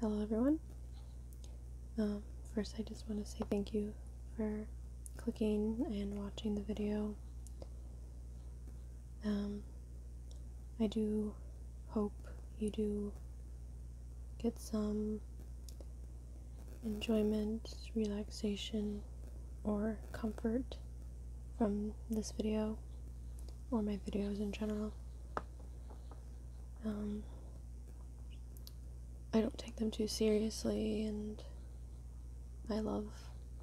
Hello, everyone. Um, first, I just want to say thank you for clicking and watching the video. Um, I do hope you do get some enjoyment, relaxation, or comfort from this video or my videos in general. Um, I don't take them too seriously, and I love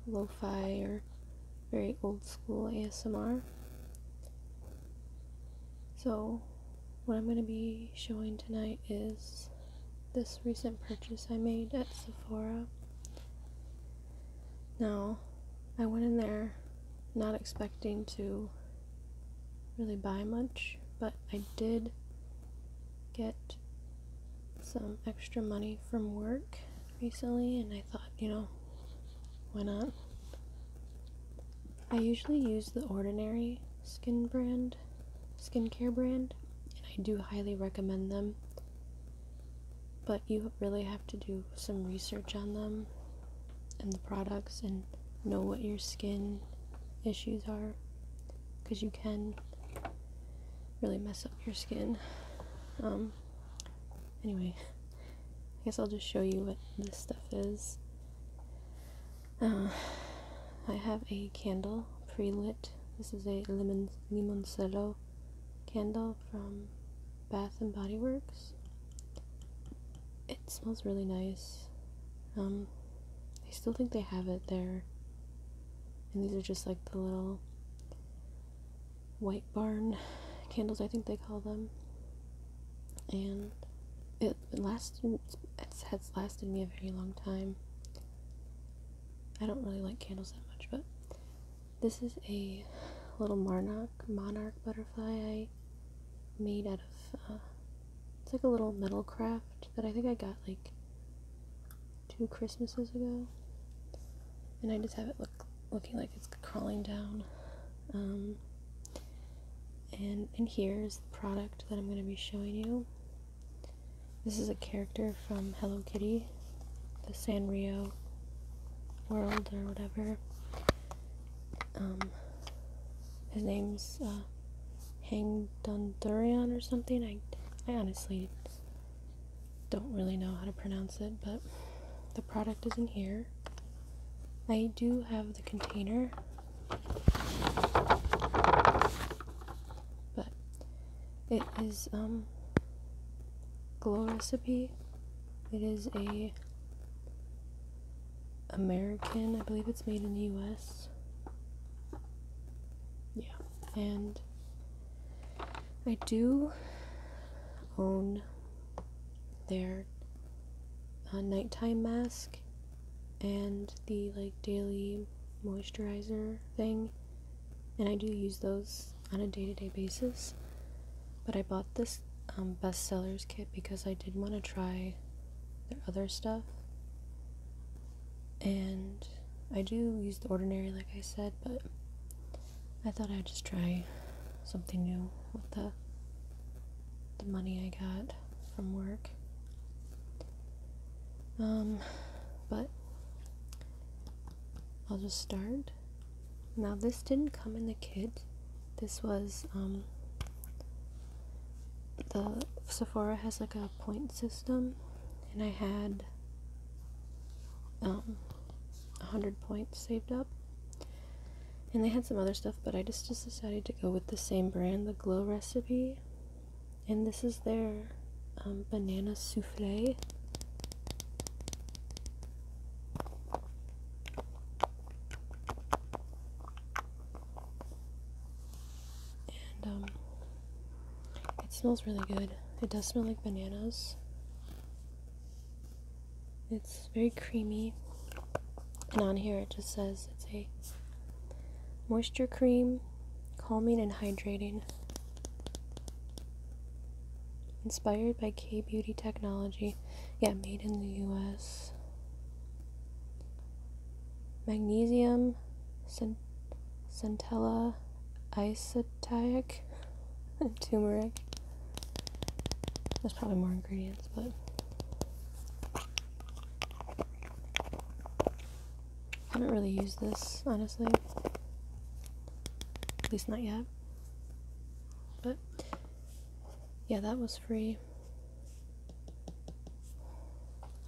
lo fi or very old school ASMR. So, what I'm going to be showing tonight is this recent purchase I made at Sephora. Now, I went in there not expecting to really buy much, but I did get some extra money from work recently, and I thought, you know, why not? I usually use the Ordinary skin brand, skincare brand, and I do highly recommend them but you really have to do some research on them and the products and know what your skin issues are because you can really mess up your skin. Um, anyway, I guess I'll just show you what this stuff is. Uh, I have a candle pre-lit. This is a lemon limoncillo candle from Bath and Body Works. It smells really nice. Um, I still think they have it there. And these are just like the little white barn candles, I think they call them. And it lasted, it has lasted me a very long time. I don't really like candles that much, but this is a little monarch monarch butterfly I made out of uh, it's like a little metal craft that I think I got like two Christmases ago, and I just have it look looking like it's crawling down. Um, and and here's the product that I'm going to be showing you. This is a character from Hello Kitty, the Sanrio world or whatever. Um, his name's uh, Hang Dundurian or something. I, I honestly don't really know how to pronounce it, but the product is in here. I do have the container, but it is um, Glow Recipe it is a American, I believe it's made in the US. Yeah, and I do own their uh, nighttime mask and the like daily moisturizer thing, and I do use those on a day to day basis. But I bought this um, bestsellers kit because I did want to try their other stuff. And I do use the ordinary, like I said, but I thought I'd just try something new with the the money I got from work. Um, but I'll just start now, this didn't come in the kit, this was um, the Sephora has like a point system, and I had um, 100 points saved up. And they had some other stuff, but I just, decided to go with the same brand, the Glow Recipe. And this is their um, banana souffle. And um, it smells really good. It does smell like bananas. It's very creamy. And on here it just says it's a moisture cream, calming and hydrating. Inspired by K Beauty technology. Yeah, made in the US. Magnesium, cent- centella, isotyric, turmeric. There's probably more ingredients, but. I haven't really used this, honestly. At least not yet. But yeah, that was free.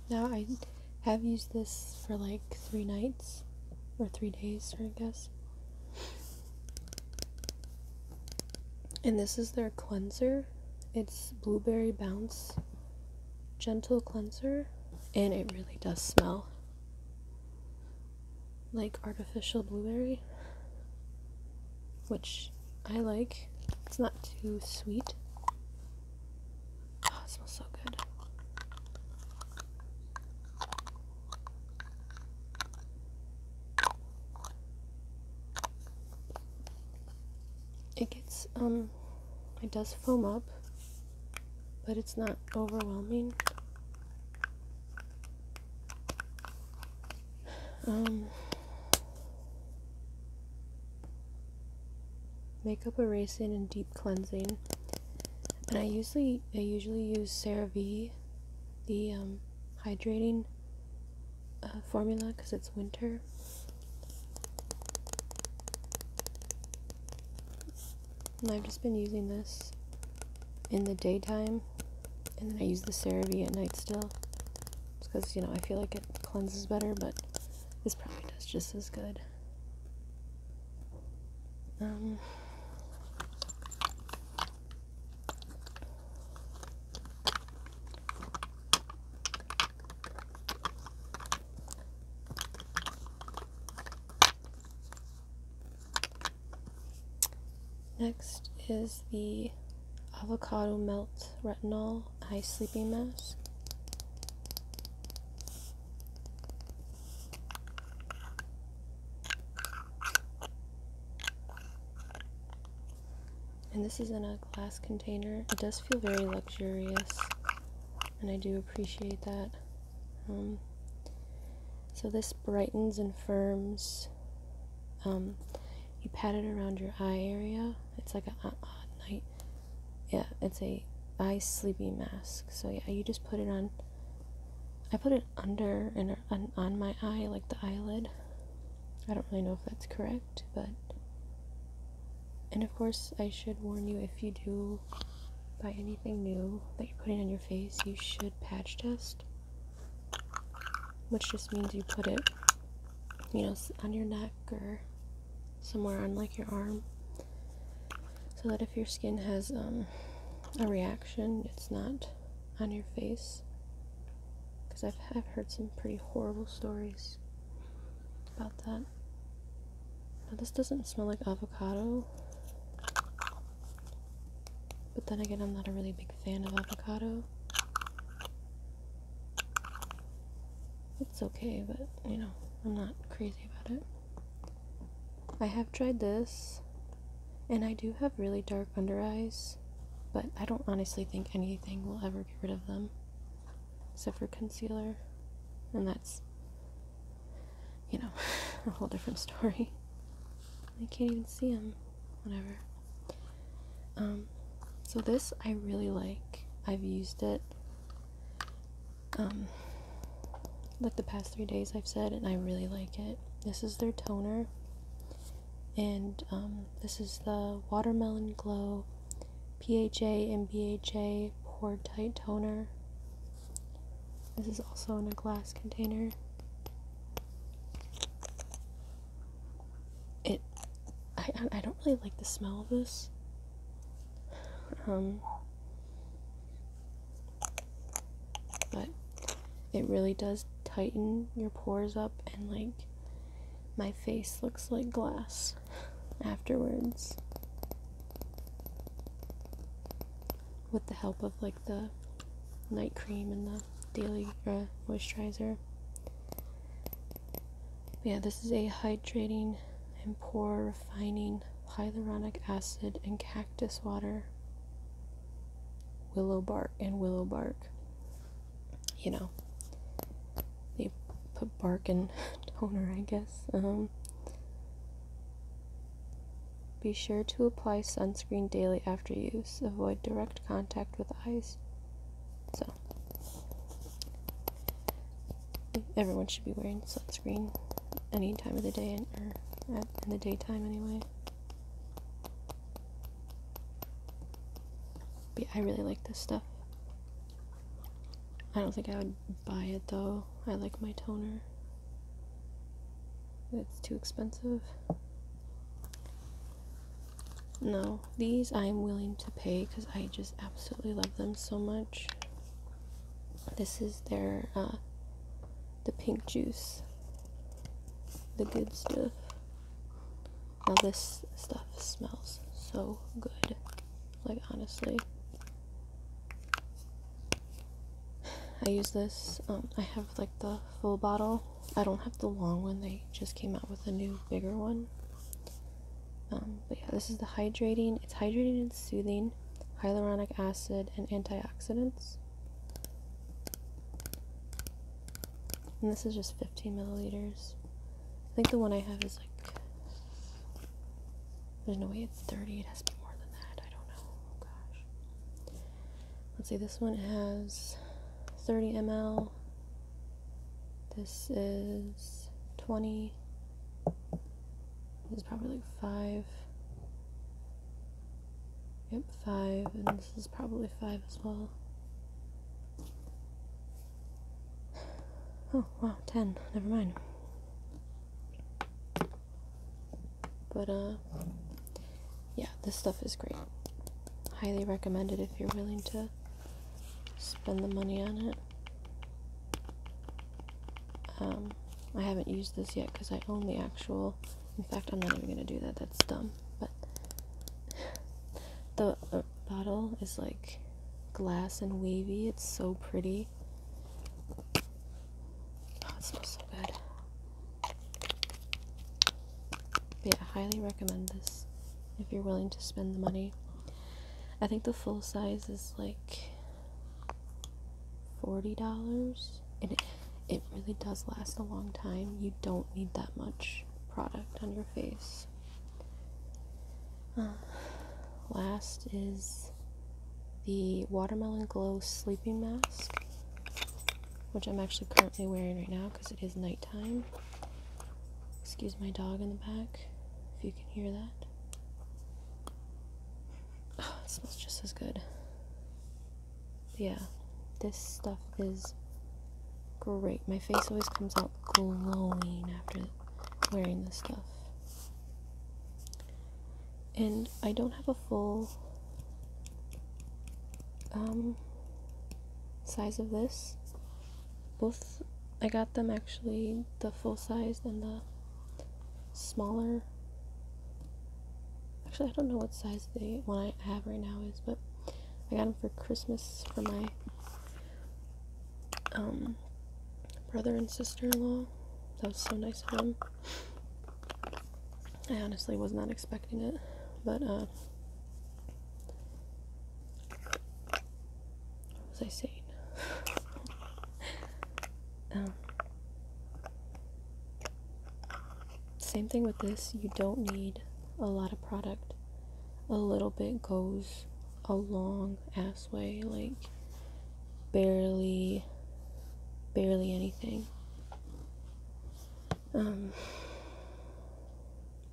Now I have used this for like three nights or three days, I guess. And this is their cleanser. It's Blueberry Bounce Gentle Cleanser, and it really does smell like artificial blueberry, which I like. It's not too sweet. Oh, it smells so good. It gets, um, it does foam up, but it's not overwhelming. Um, makeup erasing and deep cleansing. And I usually I usually use CeraVe, the um, hydrating uh, formula because it's winter. And I've just been using this in the daytime, and then I use the CeraVe at night still. because, you know, I feel like it cleanses better, but this probably does just as good. Um, Next is the Avocado Melt Retinol Eye Sleeping Mask. And this is in a glass container. It does feel very luxurious, and I do appreciate that. Um, so this brightens and firms. Um, you pat it around your eye area. It's like a night. Yeah, it's a eye sleepy mask. So yeah, you just put it on. I put it under and on my eye, like the eyelid. I don't really know if that's correct, but. And of course, I should warn you if you do buy anything new that you're putting on your face, you should patch test which just means you put it, you know, on your neck or somewhere on like your arm, so that if your skin has um, a reaction, it's not on your face. Because I've heard some pretty horrible stories about that. Now, this doesn't smell like avocado. But then again, I'm not a really big fan of avocado. It's okay, but you know, I'm not crazy about it. I have tried this, and I do have really dark under eyes, but I don't honestly think anything will ever get rid of them, except for concealer, and that's you know, a whole different story. I can't even see them, whatever. Um, so this I really like. I've used it, um, like the past three days I've said, and I really like it. This is their toner, and um, this is the Watermelon Glow PHA and BHA Pore Tight Toner. This is also in a glass container. It, I, I don't really like the smell of this. Um, but it really does tighten your pores up and like my face looks like glass afterwards with the help of like the night cream and the daily uh, moisturizer. yeah, this is a hydrating and pore refining hyaluronic acid and cactus water, willow bark, and willow bark. You know, they put bark in toner, I guess. Um, be sure to apply sunscreen daily after use. Avoid direct contact with eyes. So, everyone should be wearing sunscreen any time of the day, or in the daytime anyway. But I really like this stuff. I don't think I would buy it though. I like my toner. That's too expensive. No, these I am willing to pay because I just absolutely love them so much. This is their, uh, the pink juice. The good stuff. Now this stuff smells so good. Like, honestly. I use this. Um, I have like the full bottle. I don't have the long one. They just came out with a new bigger one. Um, but yeah, this is the hydrating. It's hydrating and soothing, hyaluronic acid and antioxidants. And this is just 15 milliliters. I think the one I have is like. There's no way it's 30. It has to be more than that. I don't know. Oh, gosh. Let's see, this one has 30 ml. This is 20. This is probably like 5. Yep, 5. And this is probably 5 as well. Oh, wow, 10. Never mind. But, uh, yeah, this stuff is great. Highly recommend it if you're willing to spend the money on it. Um, I haven't used this yet because I own the actual. In fact, I'm not even going to do that. That's dumb. But the bottle is like glass and wavy. It's so pretty. That smells so good. yeah, I highly recommend this if you're willing to spend the money. I think the full size is like forty dollars, and it, it really does last a long time. You don't need that much product on your face. Uh, last is the Watermelon Glow Sleeping Mask, which I'm actually currently wearing right now because it is nighttime. Excuse my dog in the back, if you can hear that. Oh, smells just as good. Yeah, this stuff is great. My face always comes out glowing after wearing this stuff and I don't have a full um, size of this. Both I got them actually the full size and the smaller. Actually, I don't know what size the one I have right now is, but I got them for Christmas for my um, brother and sister in law. That was so nice of them. I honestly was not expecting it, but uh, I saying? Um, same thing with this. You don't need a lot of product. A little bit goes a long ass way. Like barely, barely anything. Um,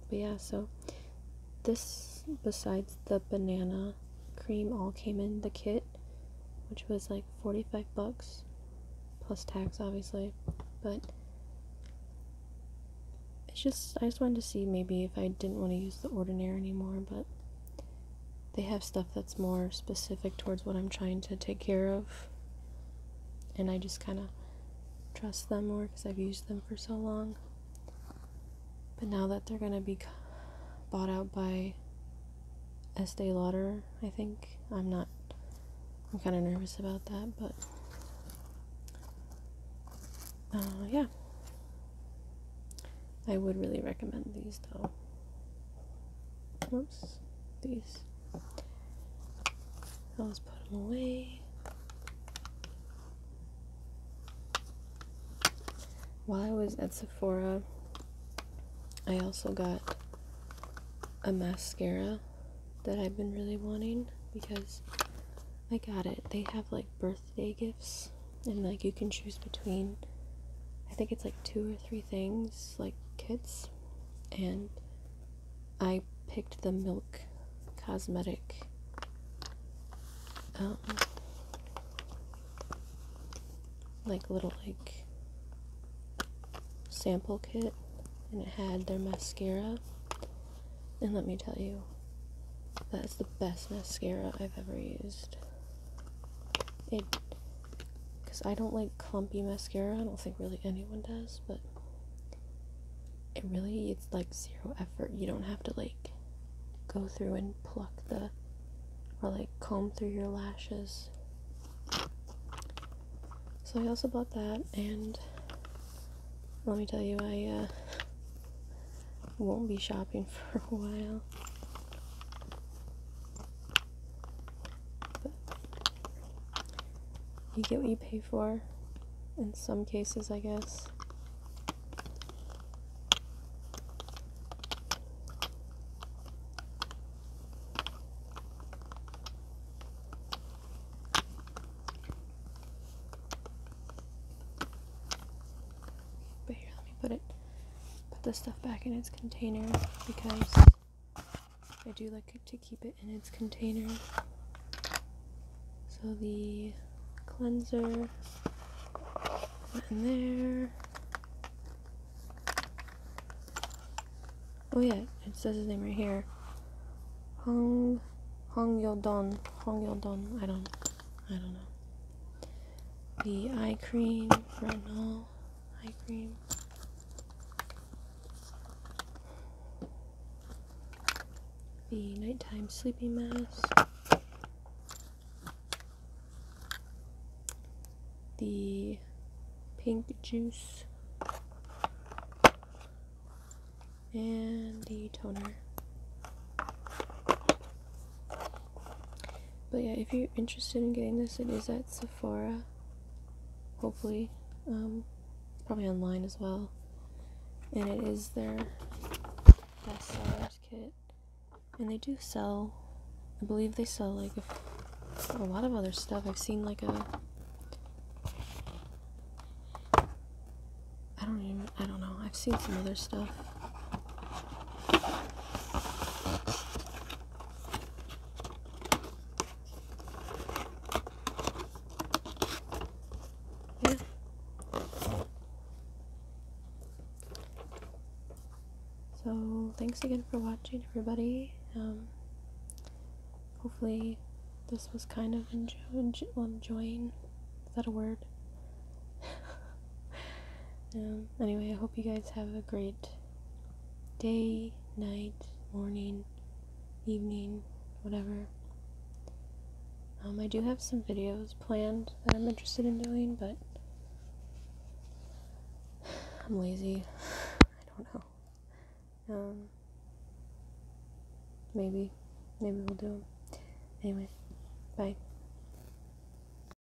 but yeah, so this, besides the banana cream, all came in the kit, which was like 45 bucks, plus tax, obviously. But it's just, I just wanted to see maybe if I didn't want to use the Ordinaire anymore, but they have stuff that's more specific towards what I'm trying to take care of. And I just kind of trust them more because I've used them for so long. But now that they're going to be bought out by Estee Lauder, I think, I'm not, I'm kind of nervous about that, but uh, yeah. I would really recommend these though. Whoops. These. I'll just put them away. While I was at Sephora, I also got a mascara that I've been really wanting because I got it. They have like birthday gifts and like you can choose between I think it's like two or three things like kids, and I picked the Milk Cosmetic. Um, like little like sample kit and it had their mascara and let me tell you that's the best mascara I've ever used it, because I don't like clumpy mascara. I don't think really anyone does, but it really it's like zero effort. You don't have to like go through and pluck the or like comb through your lashes. So I also bought that, and let me tell you, I uh, won't be shopping for a while you get what you pay for in some cases, I guess. But here, let me put it put the stuff back in its container because I do like to keep it in its container. So the cleanser in there. Oh yeah, it says his name right here. Hong Hong Yeldon. Hong Yeldon. I don't I don't know. The eye cream, retinol, eye cream. The nighttime sleeping mask. The pink juice. And the toner. But yeah, if you're interested in getting this, it is at Sephora. Hopefully, um, probably online as well. And it is their bestsellers kit, and they do sell. I believe they sell like a, a lot of other stuff. I've seen like a. I don't even. I don't know. I've seen some other stuff. Yeah. So, thanks again for watching, everybody. Um, hopefully, this was kind of enjo enjoying. Is that a word? um, anyway, I hope you guys have a great day, night, morning, evening, whatever. Um, I do have some videos planned that I'm interested in doing, but I'm lazy. I don't know. Um, maybe, maybe we'll do them. Anyway, bye.